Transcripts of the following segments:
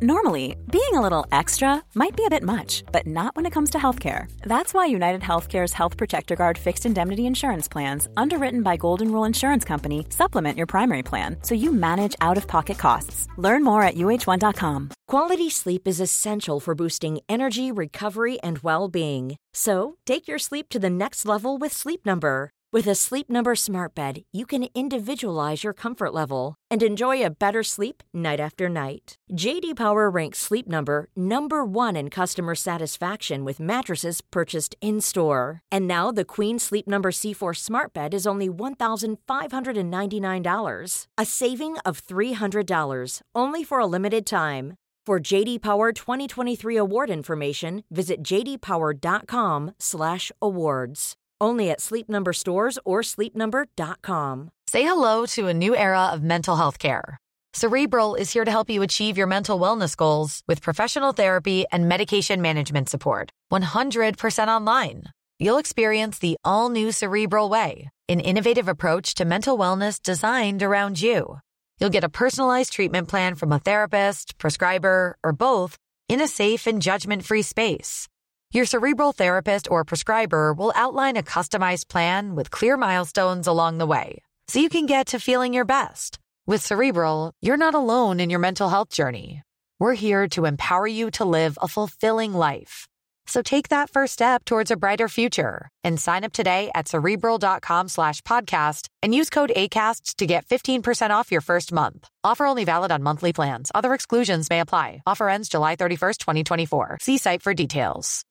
Normally, being a little extra might be a bit much, but not when it comes to healthcare. That's why United Healthcare's Health Protector Guard fixed indemnity insurance plans, underwritten by Golden Rule Insurance Company, supplement your primary plan so you manage out of pocket costs. Learn more at uh1.com. Quality sleep is essential for boosting energy, recovery, and well being. So, take your sleep to the next level with Sleep Number. With a Sleep Number smart bed, you can individualize your comfort level and enjoy a better sleep night after night. JD Power ranks Sleep Number number 1 in customer satisfaction with mattresses purchased in-store. And now the Queen Sleep Number C4 Smart Bed is only $1,599, a saving of $300 only for a limited time. For JD Power 2023 award information, visit jdpower.com/awards. Only at Sleep Number stores or sleepnumber.com. Say hello to a new era of mental health care. Cerebral is here to help you achieve your mental wellness goals with professional therapy and medication management support. 100% online. You'll experience the all new Cerebral Way, an innovative approach to mental wellness designed around you. You'll get a personalized treatment plan from a therapist, prescriber, or both in a safe and judgment free space. Your cerebral therapist or prescriber will outline a customized plan with clear milestones along the way so you can get to feeling your best. With Cerebral, you're not alone in your mental health journey. We're here to empower you to live a fulfilling life. So take that first step towards a brighter future and sign up today at cerebral.com slash podcast and use code ACasts to get 15% off your first month. Offer only valid on monthly plans. Other exclusions may apply. Offer ends July 31st, 2024. See site for details.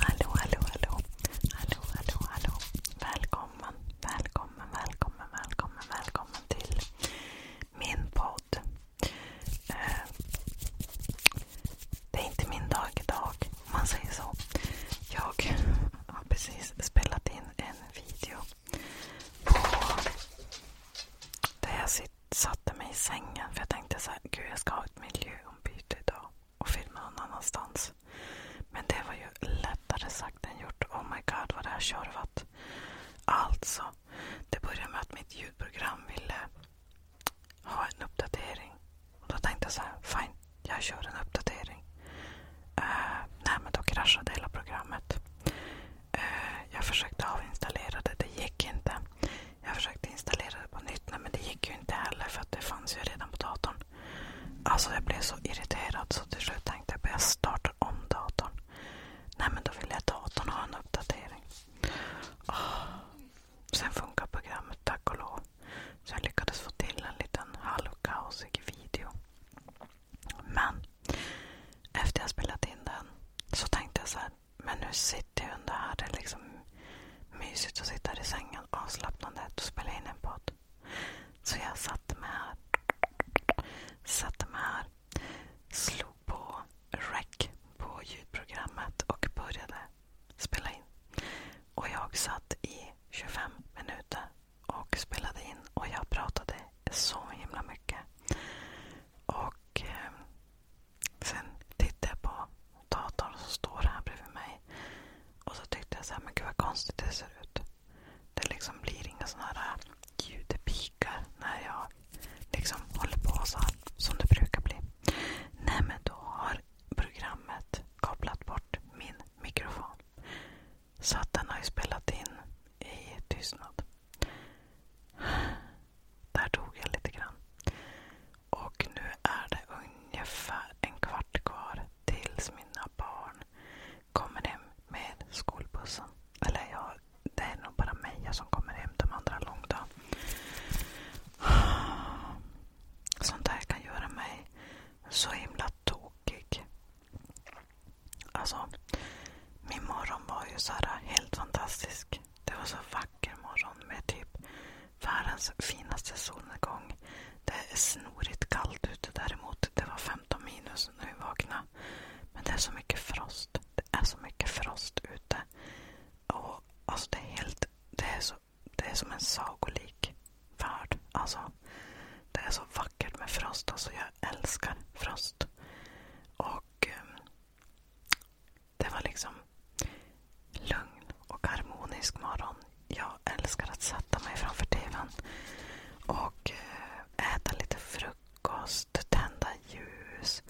Hallå, hallå, hallå. Hallå, hallå, hallå. Välkommen, välkommen, välkommen, välkommen, välkommen till min podd. Eh, Det är inte min dag idag, om man säger så. Jag har precis spelat in en video på där jag satte mig i sängen för jag tänkte så här, gud jag ska ha ett miljöombyte idag och filma någon annanstans. Men det var ju lättare sagt än gjort. Oh my god vad det här tjorvat. Alltså, det började med att mitt ljudprogram ville ha en uppdatering. Och då tänkte jag så här, fine, jag kör en uppdatering. Uh, nej, men då kraschade hela programmet. Uh, jag försökte avinstallera det, det gick inte. Jag försökte installera det på nytt, nej, men det gick ju inte heller för att det fanns ju redan på datorn. Alltså jag blev så irriterad så till slut tänkte jag att jag startar om datorn. Nej men då ville jag datorn ha en uppdatering. Oh, Sen funkar programmet tack och lov. Så jag lyckades få till en liten halvkaosig video. Men efter jag spelat in den så tänkte jag så här, men nu sitter jag under här. Det är liksom mysigt att sitta här i sängen avslappnande och spela in en podd. Så jag satte mig här. Satte mig här. Slog på rec på ljudprogrammet och började spela in. Och jag satt i 25 minuter och spelade in och jag pratade så himla mycket. Och eh, sen tittade jag på datorn som står här bredvid mig. Och så tyckte jag så här, men gud vad konstigt det ser ut. Det liksom blir inga sådana här ljudpikar när jag liksom håller på så här, som det brukar bli. Nej men då har programmet kopplat bort min mikrofon. Så att den har ju spelat in i tystnad. Där tog jag lite grann. Och nu är det ungefär en kvart kvar tills mina barn kommer hem med skolbussen. Eller ja, det är nog bara Meja som kommer hem. De andra långdagen. Sånt där kan göra mig så himla tokig. Alltså, min morgon var ju så här helt fantastisk. Det var så vacker morgon med typ världens finaste solnedgång. Det är snorigt kallt ute däremot. Det var 15 minus när vi vaknade. Men det är så mycket frost. Det är så mycket frost ute. Och alltså det är helt... Det är så det är som en sagolik värld. Alltså, det är så vackert med Frost. Alltså, jag älskar Frost. Och ehm, Det var liksom lugn och harmonisk morgon. Jag älskar att sätta mig framför tvn och eh, äta lite frukost, tända ljus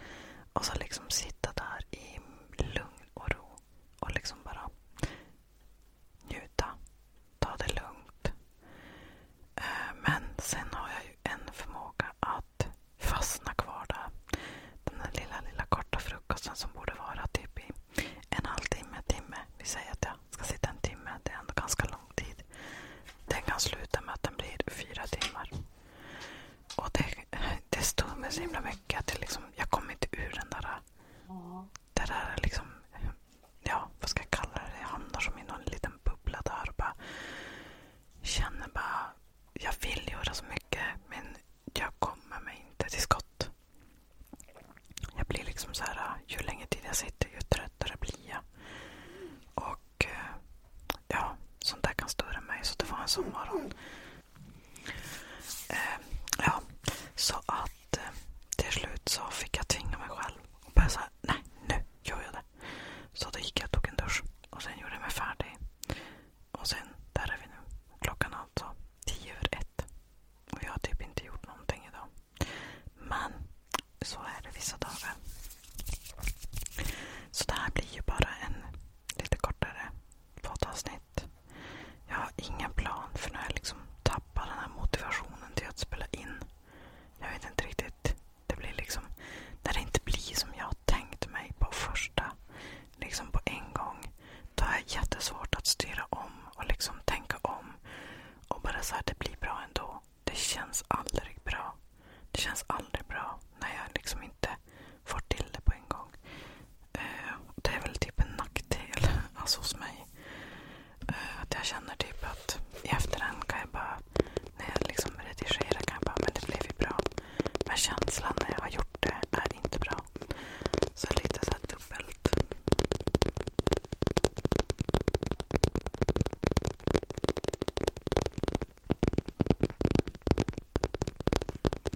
och så liksom sitta där i lugn och ro och liksom bara njuta. Ta det lugnt. Eh, men sen har jag ju en förmåga att fastna kvar där. Den där lilla, lilla korta frukosten som borde vara typ i en halvtimme, timme. Vi säger att jag ska sitta en timme. Det är ändå ganska lång tid. Den kan sluta med att den blir fyra timmar. Och det, det stod mig så himla mycket att liksom, jag kom inte ur den där det där är liksom, ja vad ska jag kalla det? Jag hamnar som i någon liten bubbla där och bara känner bara, jag vill göra så mycket men jag kommer mig inte till skott. Jag blir liksom så här, ju längre tid jag sitter ju tröttare blir jag. Och eh, ja, sånt där kan störa mig. Så det var en sån morgon. Eh, så att eh, till slut så fick jag tvinga mig själv. Och börja säga, nej nu gör jag det. Så då gick jag och tog en dusch. Och sen gjorde jag mig färdig. Och sen, där är vi nu. Klockan är alltså tio över ett. Och jag har typ inte gjort någonting idag. Men så är det vissa dagar. Så det här blir ju bara en lite kortare poddavsnitt. Jag har ingen plan för när jag liksom tappar den här motivationen till att spela in. Jag vet inte riktigt. Det blir liksom, när det inte blir som jag tänkt mig på första, liksom på en gång, då har jag jättesvårt att styra om och liksom tänka om. Och bara så här, det blir bra ändå. Det känns aldrig bra. Det känns aldrig bra när jag liksom inte får till det på en gång. Eh, det är väl typ en nackdel alltså hos mig. Eh, att jag känner typ att i efterhand kan jag bara, när jag liksom redigerar kan jag bara, men det blev ju bra. Men känslan när jag har gjort det är inte bra. Så lite såhär dubbelt.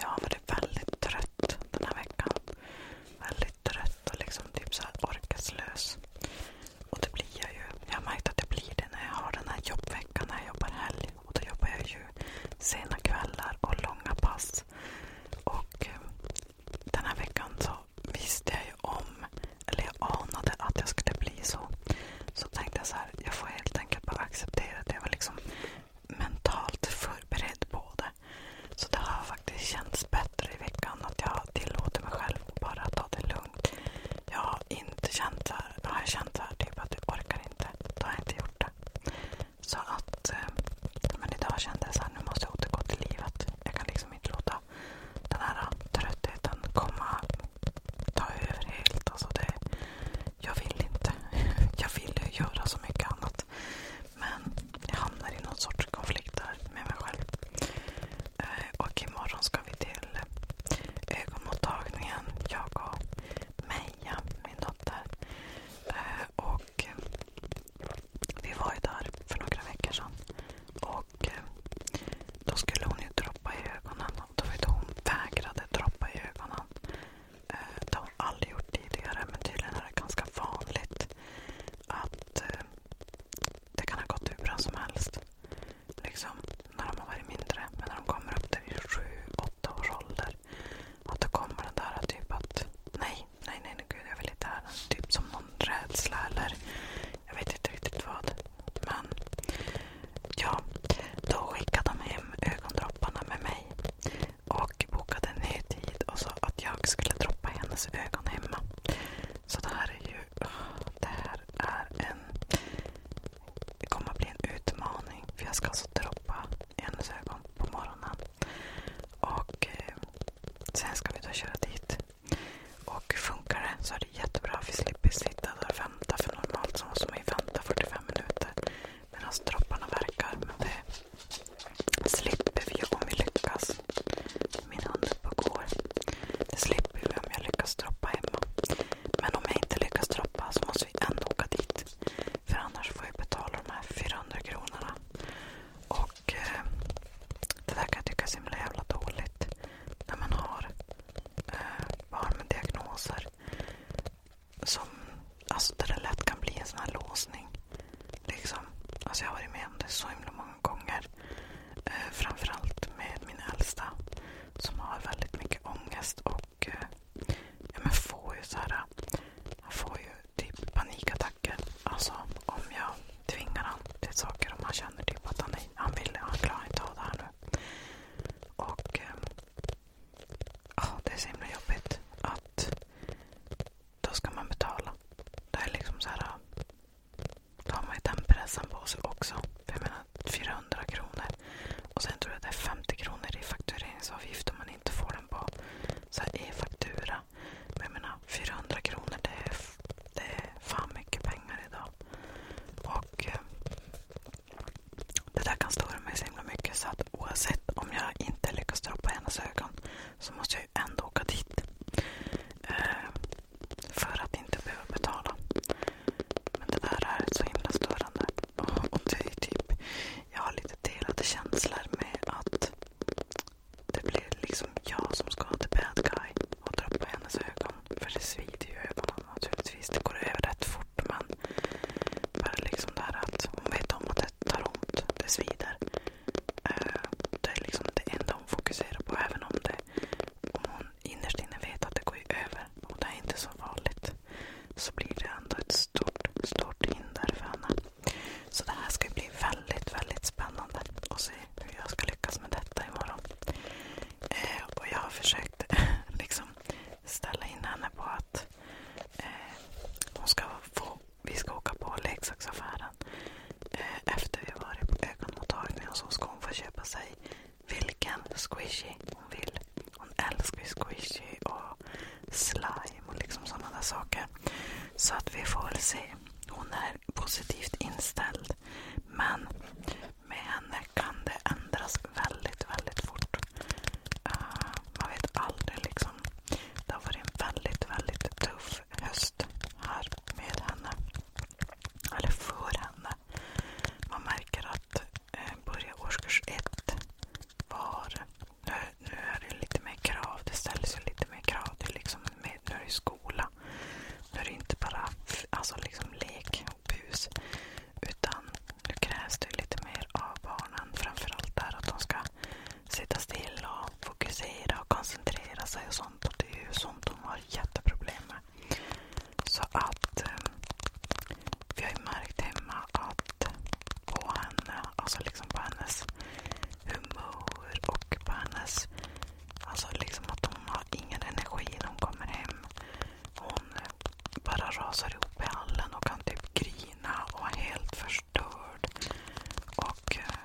jag har varit väldigt trött den här veckan. Väldigt trött och liksom typ så här orkeslös. Och det blir jag ju. Jag har märkt att det blir det när jag har den här jobbveckan, när jag jobbar helg. Och då jobbar jag ju sena kvällar och långa pass. Och eh, den här veckan så visste jag ju om, eller jag anade att jag skulle bli så. Så tänkte jag så här, jag får helt enkelt bara acceptera det. Jag var liksom mentalt förberedd på det. Så det har faktiskt känts bättre i veckan att jag tillåter mig själv att bara ta det lugnt. Jag har inte känt så här, jag har känt så här typ att jag orkar inte. Då har jag inte gjort det. Så att, eh, men idag kände jag så här, nu måste jag återgå till livet. Jag kan liksom inte låta den här tröttheten komma, ta över helt. Alltså det, jag vill inte. Jag vill ju göra så mycket annat. Men jag hamnar i någon sorts konflikt där med mig själv. Eh, och imorgon ska vi till ögonmottagningen. Jag och Meja, min dotter. Eh, vi var ju där för några veckor sedan. Och eh, då skulle hon ju droppa i ögonen. Då var det hon vägrade droppa i ögonen. Eh, det har hon aldrig gjort tidigare men tydligen är det ganska vanligt att eh, det kan ha gått hur bra som helst. Liksom när de har varit mindre. Men när de kommer upp till 7-8 års ålder. Att då kommer den där typ att nej, nej, nej, nej gud jag vill inte här. Typ som någon rädsla eller jag vet inte riktigt vad. Men ja, då skickade de hem ögondropparna med mig och bokade en ny tid och sa att jag skulle droppa hennes ögon hemma. Så det här är ju det här är en... Det kommer att bli en utmaning. För jag ska alltså droppa hennes ögon på morgonen. Och eh, sen ska vi då köra dit. Och funkar det så är det jättebra. Vi slipper sitta där och vänta. För normalt så måste man ju vänta 45 minuter medan dropparna verkar. Men det slipper vi om vi lyckas. Min hund är och går. Det slipper vi om jag lyckas droppa hemma. Men om jag inte lyckas droppa så måste vi ändå åka dit. För annars får jag betala de här 400 kronorna. Och eh, det där kan jag tycka är så himla jävla dåligt. När man har eh, barn med diagnoser som, alltså där det lätt kan bli en sån här låsning. Liksom. Alltså jag har varit med om det så himla många gånger. Eh, framförallt med min äldsta som har väldigt mycket ångest och eh, ja, men får ju så här, han får ju typ panikattacker. Alltså om jag tvingar honom till saker om han känner typ att han, han vill, han klarar inte av det här nu. Och eh, Ja, det är så himla jobbigt. Att då ska man betala. Det är liksom så här. Då har man ju den pressen på sig också. För jag menar 400 kronor. Och sen tror jag det är 50 kronor i faktureringsavgift om man inte får den på så e-faktura. Men jag menar 400 kronor det är, det är fan mycket pengar idag. Och eh, det där kan störa mig så himla mycket så att oavsett om jag inte lyckas droppa hennes ögon så måste jag ju ändå åka dit. Eh, för att inte behöva betala. Men det där är så himla störande. Och, och det är typ, jag har lite delade känslor med att det blir liksom jag som ska ha the bad guy och droppa hennes ögon. För det svider ju ögonen naturligtvis. Det går över rätt fort. Men utan bara liksom det här att hon vet om att det tar ont. Det svider. Eh, det är liksom det enda hon fokuserar på. Även om, det, om hon innerst inne vet att det går över och det är inte så farligt. Så blir det ändå ett stort, stort hinder för henne. Så det här ska bli väldigt, väldigt spännande att se hur jag ska lyckas med detta imorgon. Eh, och jag har försökt liksom ställa in henne på att Eh, hon ska få, vi ska åka på leksaksaffären. Eh, efter vi varit på ögonmottagningen så ska hon få köpa sig vilken squishy hon vill. Hon älskar ju squishy och slime och liksom sådana där saker. Så att vi får väl se. Hon är positivt inställd. Men med henne kan det ändras väldigt, väldigt fort. Uh, man vet aldrig liksom. Det har varit en väldigt, väldigt tuff höst här med henne. Eller för henne. Man märker att eh, börja årskurs ett var... Nu, är det lite mer krav. Det ställs ju lite mer krav. Liksom nu är det skola. Nu är det inte bara alltså liksom lek och bus. Utan nu krävs det lite mer av barnen. Framförallt där att de ska sitta still och fokusera och koncentrera sig och sånt. Och det är ju sånt de har jätteproblem med. Så att eh, vi har ju märkt hemma att på henne, alltså liksom på hennes humör och på hennes, alltså liksom att hon har ingen energi när hon kommer hem. Hon bara rasar ihop i hallen och kan typ grina och vara helt förstörd. Och eh,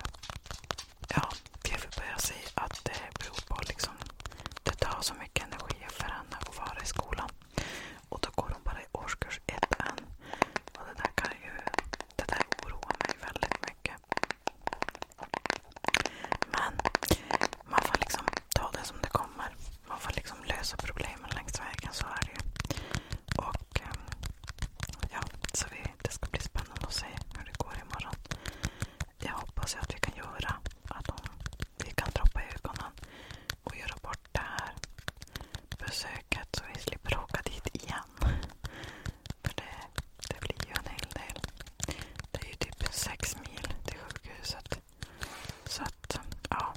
ja, Kevin börjar säga att det beror på liksom, det tar så mycket energi för henne att vara i skolan. Och då går hon bara i årskurs ett än. Och det där kan ju, det där oroar mig väldigt mycket. Men man får liksom ta det som det kommer. Man får liksom lösa problemen längs vägen, så är det ju. Och, ehm, ja, så vi, det ska bli spännande att se hur det går imorgon. Jag hoppas att vi kan göra att hon, vi kan droppa ögonen och göra bort det här besöket så vi slipper åka dit igen. För det blir ju en hel del. Det är ju typ sex mil till sjukhuset. Så att, ja.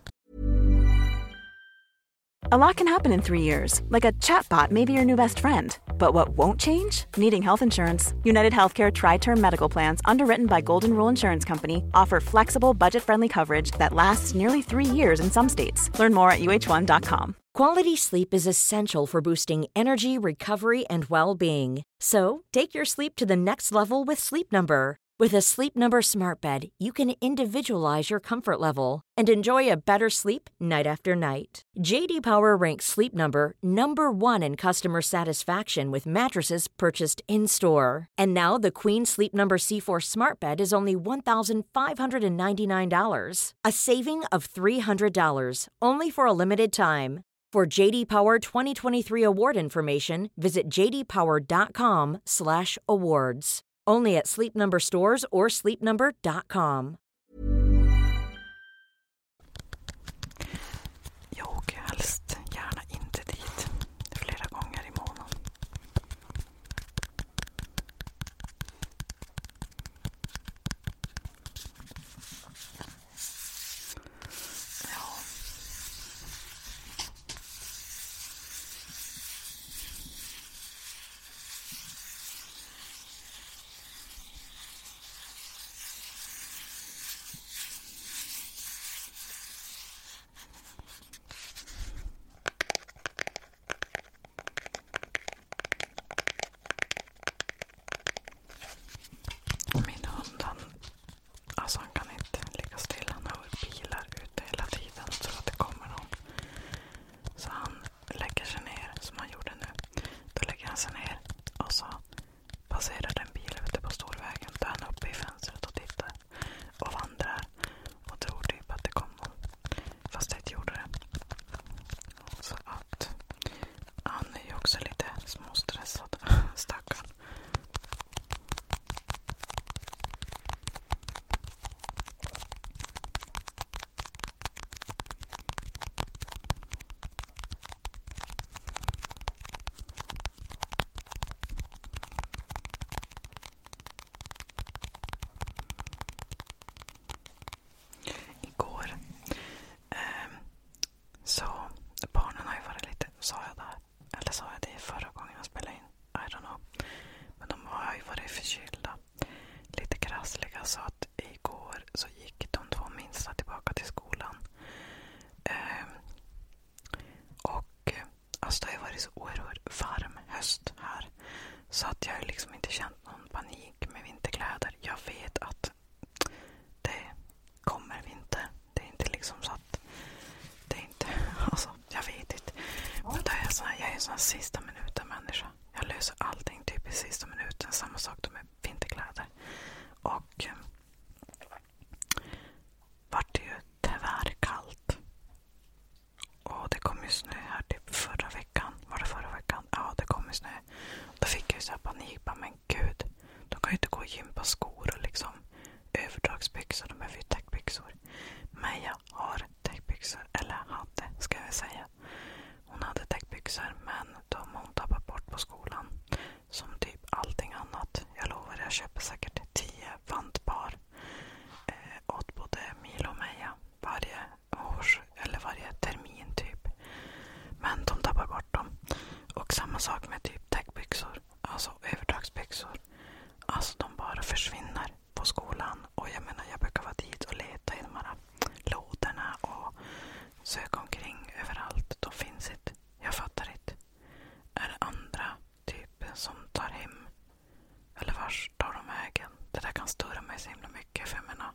A lot can happen in three years, like a chatbot may be your new best friend. But what won't change? Needing health insurance. United Healthcare Tri Term Medical Plans, underwritten by Golden Rule Insurance Company, offer flexible, budget friendly coverage that lasts nearly three years in some states. Learn more at uh1.com. Quality sleep is essential for boosting energy, recovery, and well being. So take your sleep to the next level with Sleep Number. With a Sleep Number smart bed, you can individualize your comfort level and enjoy a better sleep night after night. JD Power ranks Sleep Number number 1 in customer satisfaction with mattresses purchased in-store. And now the Queen Sleep Number C4 smart bed is only $1,599, a saving of $300 only for a limited time. For JD Power 2023 award information, visit jdpower.com/awards only at Sleep Number stores or sleepnumber.com. Jag åker gärna inte dit flera gånger i månaden. Min hund, han, alltså så han kan inte ligga stilla. Han hör bilar ute hela tiden och tror att det kommer någon. Så han lägger sig ner, som han gjorde nu. Då lägger han sig ner och så passerar en bil ute på storvägen. Då är han uppe i fönstret och tittar och vandrar och tror typ att det kom någon. Fast det inte gjorde det. Så att han är ju också lite småstressad, stackarn. Igår eh, så, barnen har ju varit lite, sa jag där, eller sa jag det förra gången jag spelade in? I don't know. Men de har ju varit förkylda. Lite krassliga. Så att igår så gick de två minsta tillbaka till skolan. Ehm, eh, och alltså Det har ju varit så oerhört varm höst här. Så att jag har liksom inte känt någon panik med vinterkläder. Jag vet att det kommer vinter. Det är inte liksom så att att det inte... Alltså, jag vet inte. Men då är jag, här, jag är en sån här sista minuten-människa. Jag löser allting typ i sista minuten. Samma sak då med vinterkläder. Och eh, vart det ju tyvärr kallt. Och det kom ju snö här typ förra veckan. Var det förra veckan? Ja, det kom ju snö. Då fick jag ju så här panik. Men gud, de kan ju inte gå och gympa skor och liksom överdragsbyxor. De behöver ju täckbyxor. Meja har täckbyxor. Eller hade, ska jag säga. Hon hade täckbyxor, men de har hon tappat bort på skolan. Som typ allting annat. Jag lovar, jag köper säkert tio vantpar eh, åt både Milo och Meja varje års, eller varje termin typ. Men de tappar bort dem. Och samma sak med typ täckbyxor. Alltså överdragsbyxor. Alltså de bara försvinner på skolan. Och Jag menar, jag brukar vara dit och leta i de här lådorna och söka omkring överallt. De finns inte. Jag fattar inte. Är det andra typer som tar hem? Eller vars tar de vägen? Det där kan störa mig så himla mycket. För jag menar,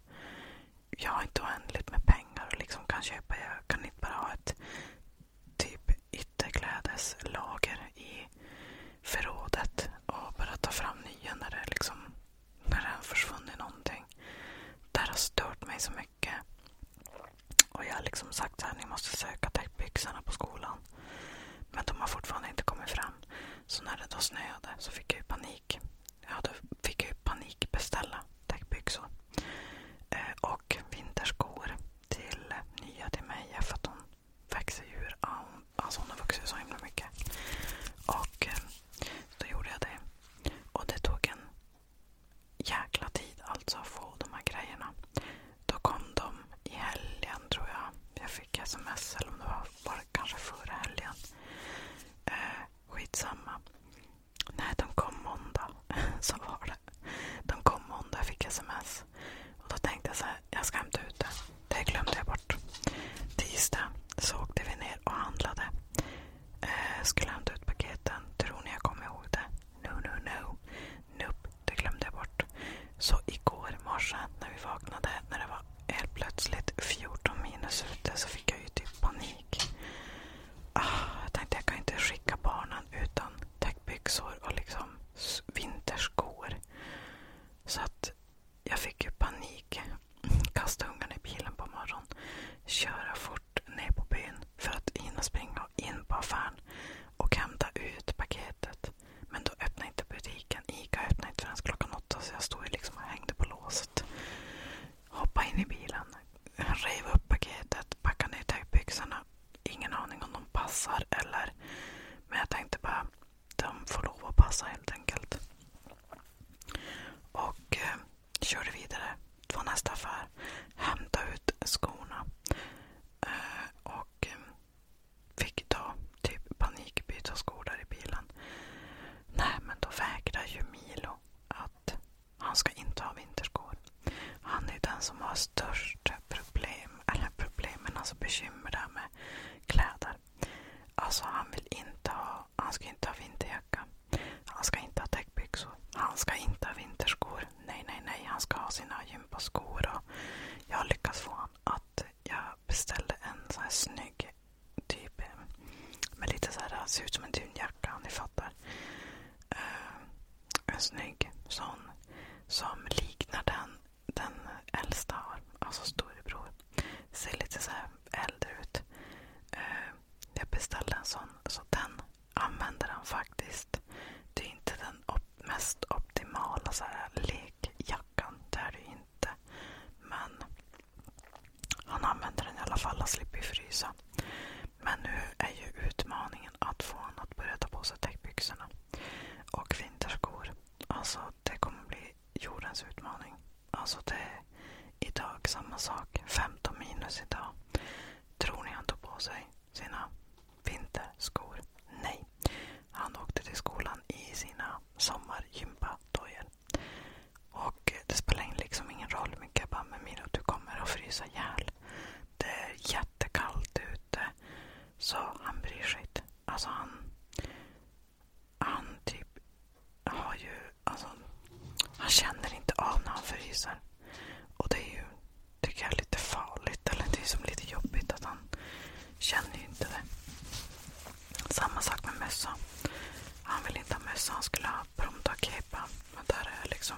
jag har inte oändligt med pengar och liksom kan köpa. Jag kan inte bara ha ett typ i ytterklädeslager i förrådet och börjat ta fram nya när det, liksom, när det har försvunnit någonting. Det här har stört mig så mycket. Och Jag har liksom sagt att ni måste söka täckbyxorna på skolan. Men de har fortfarande inte kommit fram. Så när det då snöade så fick jag ju panik. Ja, då fick jag ju panikbeställa täckbyxor eh, och vinterskor till nya till mig. För att hon växer djur. Alltså hon har vuxit så himla mycket. Och eh, då gjorde jag det. Och det tog en jäkla tid alltså att få de här grejerna. Då kom de i helgen tror jag. Jag fick sms eller om det var bara kanske förra helgen. Eh, skitsamma. Nej, de kom måndag. så var det. De kom måndag, jag fick sms. Och Då tänkte jag så här, jag ska hämta ut det. Det glömde jag bort. Tisdag så åkte vi ner och handlade. Eh, skulle hämta ut paketen. Tror ni jag kommer ihåg det? No, no, no. Nope, det glömde jag bort. Så igår morse när vi vaknade, när det var helt plötsligt 14 minus ute, så fick jag ju typ panik. Ah, jag tänkte jag kan inte skicka barnen utan täckbyxor och liksom vinterskor. Så att jag fick ju panik. Kasta ungarna i bilen på morgonen. Köra fort ner på byn för att hinna springa in på affären och hämta ut paketet. Men då öppnade inte butiken. Ica öppnade inte förrän klockan åtta så jag stod ju liksom och hängde på låset. Hoppade in i bilen, rev upp paketet, packade ner täckbyxorna ingen aning om de passar eller... Men jag tänkte bara, de får lov att passa helt enkelt. Och eh, körde vidare. Det nästa affär. Hämta ut skorna. Eh, och eh, fick då typ panik skor där i bilen. Nej, men då vägrar ju Milo att han ska inte ha vinterskor. Han är den som har störst problem problem, eller problemen, alltså bekymmer där med kläder. Alltså han vill inte ha, han ska inte ha vinterjacka. Han ska inte ha täckbyxor. Han ska inte ha vinterskor. Nej, nej, nej. Han ska ha sina gympaskor. Och jag har lyckats få honom att jag beställde en sån här snygg typ med lite så här, ser ut som en dunjacka ni fattar. Uh, en snygg sån som liknar den den äldsta har, alltså storebror, ser lite så äldre ut. Eh, jag beställde en sån, så den använder han faktiskt. Det är inte den op mest optimala så här, lekjackan, det är det inte. Men han använder den i alla fall, han slipper frysa. Men nu är ju utmaningen att få honom att börja ta på sig täckbyxorna. Och vinterskor. Alltså det kommer bli jordens utmaning. Alltså det är idag samma sak. 15 minus idag. Tror ni han tog på sig sina vinterskor? Nej. Han åkte till skolan i sina sommargympadojor. Och det spelar liksom ingen roll mycket. Jag bara, med Milo, du kommer att frysa ihjäl. Det är jättekallt ute. Så han bryr sig inte. Alltså han, han typ har ju... Alltså, han känner inte av när han fryser. Och det är ju, tycker jag, lite farligt. Eller det är som lite jobbigt att han känner ju inte det. Samma sak med mössa. Han vill inte ha mössa, han skulle ha och promdakepa. Men där har jag liksom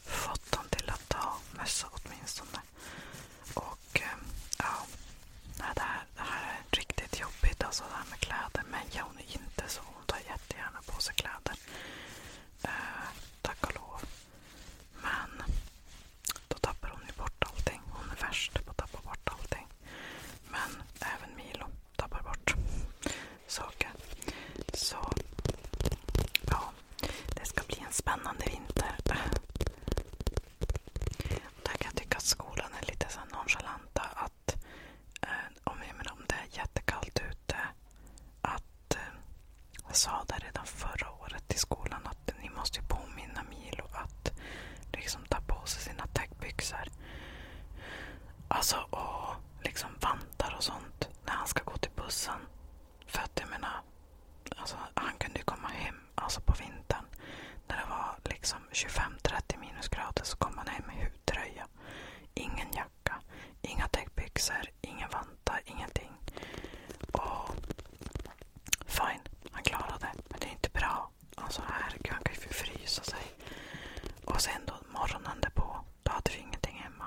fått honom till att ta mössa åtminstone. Och eh, ja, det här, det här är riktigt jobbigt alltså det här med kläder. Meja hon är inte så. Hon tar jättegärna på sig kläder. Eh, tack och lov. Men då tappar hon ju bort allting. Hon är värst på att tappa bort allting. Men även Milo tappar bort saker. Så ja, det ska bli en spännande vinter. Där kan tycka att skolan är lite nonchalanta. Eh, om, det är jättekallt ute. Eh, jag sa redan förra året till skolan att ni måste påminna Milo att liksom ta på sig sina täckbyxor. Alltså, och liksom vantar och sånt när han ska gå till bussen. För att jag menar, alltså, han kunde ju komma hem alltså på vintern. När det var liksom 25-30 minusgrader så kom han hem med hudtröja. Ingen jacka, inga täckbyxor, ingen vantar, ingenting. Och fine, han klarade det. Men det är inte bra. Alltså herregud, han kan ju frysa sig. Och sen då morgonen därpå, då hade vi ingenting hemma.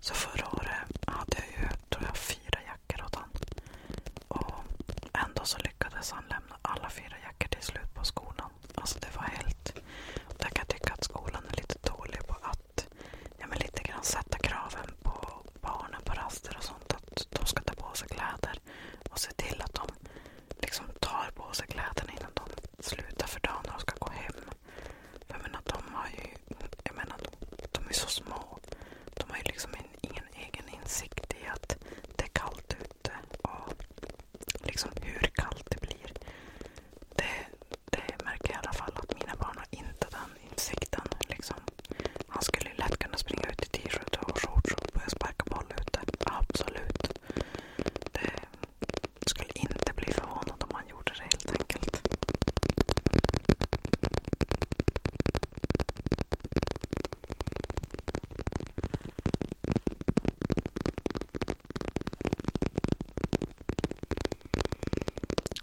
Så förra året hade jag ju tror jag, fyra jackor åt honom. Och ändå så lyckades han lämna alla fyra jackor till slut på skolan. Alltså det var helt... Jag kan tycka att skolan är lite dålig på att ja, men lite grann sätta kraven på barnen på raster och sånt. Att de ska ta på sig kläder och se till att de liksom tar på sig kläderna innan de slutar för dagen och ska gå hem. För jag menar, de har ju... Jag menar, de är så små. De har ju liksom ingen egen insikt i att det är kallt ute och liksom hur kallt det blir. Det, det märker jag i alla fall att mina barn har inte den insikten. Liksom. Han skulle lätt kunna springa ut i t-shirt och shorts och börja sparka boll ute. Absolut. Det skulle inte bli förvånad om han gjorde det helt enkelt.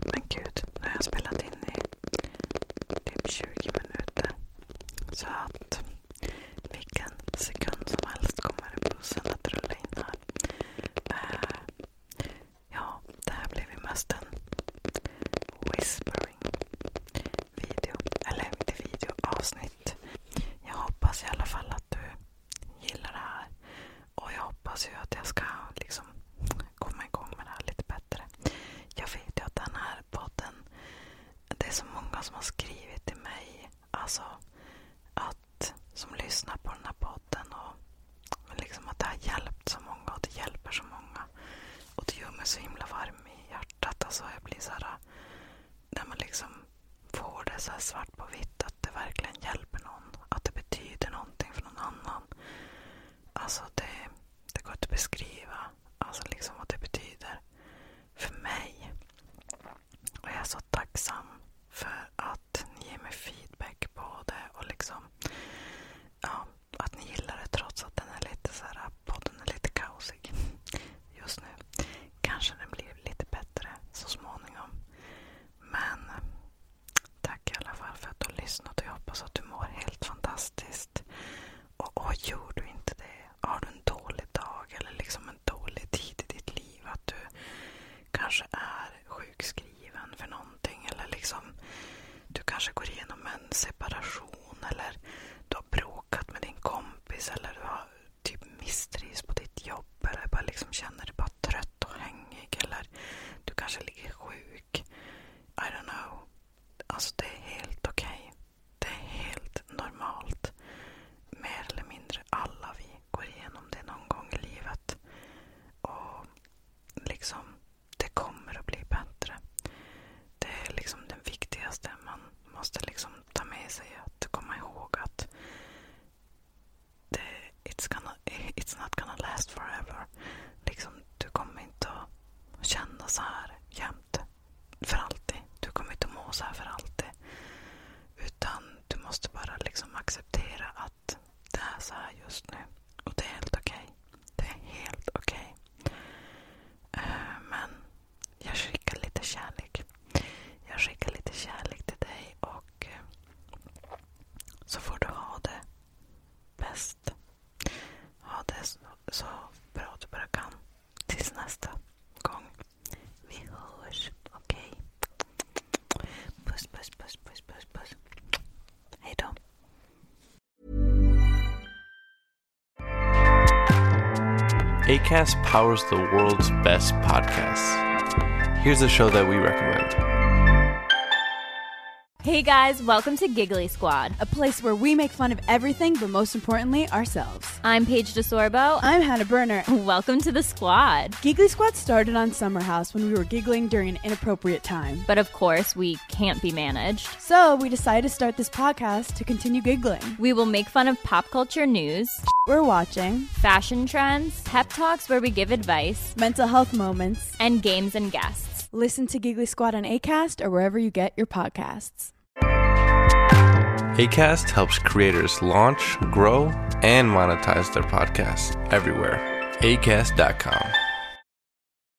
Men gud, nu har jag spelat in i typ 20 minuter. Så att vilken sekund som helst kommer bussen att rulla in här. Eh, ja, det här blev ju mest en whisper inspelning. Video. Eller inte video, avsnitt. Jag hoppas i alla fall att du gillar det här. Och jag hoppas ju att jag ska liksom komma igång med det här lite bättre. Jag vet ju att den här podden, det är så många som har skrivit till mig. Alltså att, som lyssnar på den här podden. Och, liksom att det har hjälpt så många och det hjälper så många. Och det gör mig så himla varm i hjärtat. Alltså jag blir så här, när man liksom får det så här svart på vitt att det verkligen hjälper någon. Att det betyder någonting för någon annan. Alltså det, det går inte att beskriva alltså liksom vad det betyder för mig. Och jag är så tacksam för att ni ger mig feedback på det. Och liksom, ja, att ni gillar det trots att den är lite så här, podden är lite kaosig just nu. Kanske den blir lite bättre så småningom. Men tack i alla fall för att du har lyssnat och jag hoppas att du mår helt fantastiskt. Och, och gör du inte det, har du en dålig dag eller liksom en dålig tid i ditt liv, att du kanske är sjukskriven för någon någonting. Eller liksom, du kanske går igenom en separation eller du har bråkat med din kompis eller du har typ misstrivs på ditt jobb eller bara liksom känner dig bara trött och hängig. Eller du kanske ligger sjuk. I don't know. Alltså det är helt okej. Okay. Det är helt normalt. Mer eller mindre alla vi går igenom det någon gång i livet. Och liksom det kommer att bli bättre. Det är liksom den viktigaste man måste liksom ta med sig. Att komma ihåg att det, it's, gonna, it's not gonna last forever. Liksom, du kommer inte att känna så här jämt. För alltid. Du kommer inte att må så här för alltid. Utan du måste bara liksom acceptera att det är så här just nu. Och det är helt okej. Okay. Det är helt okej. Okay. Uh, eh, men jag skickar lite kärlek. Jag skickar lite kärlek till dig och uh, så får du ha det bäst. Ha det så, så bra du bara kan. Tills nästa gång. Vi hörs. Okej? Puss, puss, puss, puss, puss, puss. Hej då. ACAST powers the world's best podcasts. Here's a show that we recommend. Hey guys, welcome to Giggly Squad, a place where we make fun of everything, but most importantly, ourselves. I'm Paige DeSorbo. I'm Hannah Berner. Welcome to the squad. Giggly Squad started on Summer House when we were giggling during an inappropriate time. But of course, we can't be managed. So we decided to start this podcast to continue giggling. We will make fun of pop culture news. We're watching fashion trends, pep talks where we give advice, mental health moments, and games and guests. Listen to Giggly Squad on ACAST or wherever you get your podcasts. ACAST helps creators launch, grow, and monetize their podcasts everywhere. ACAST.com.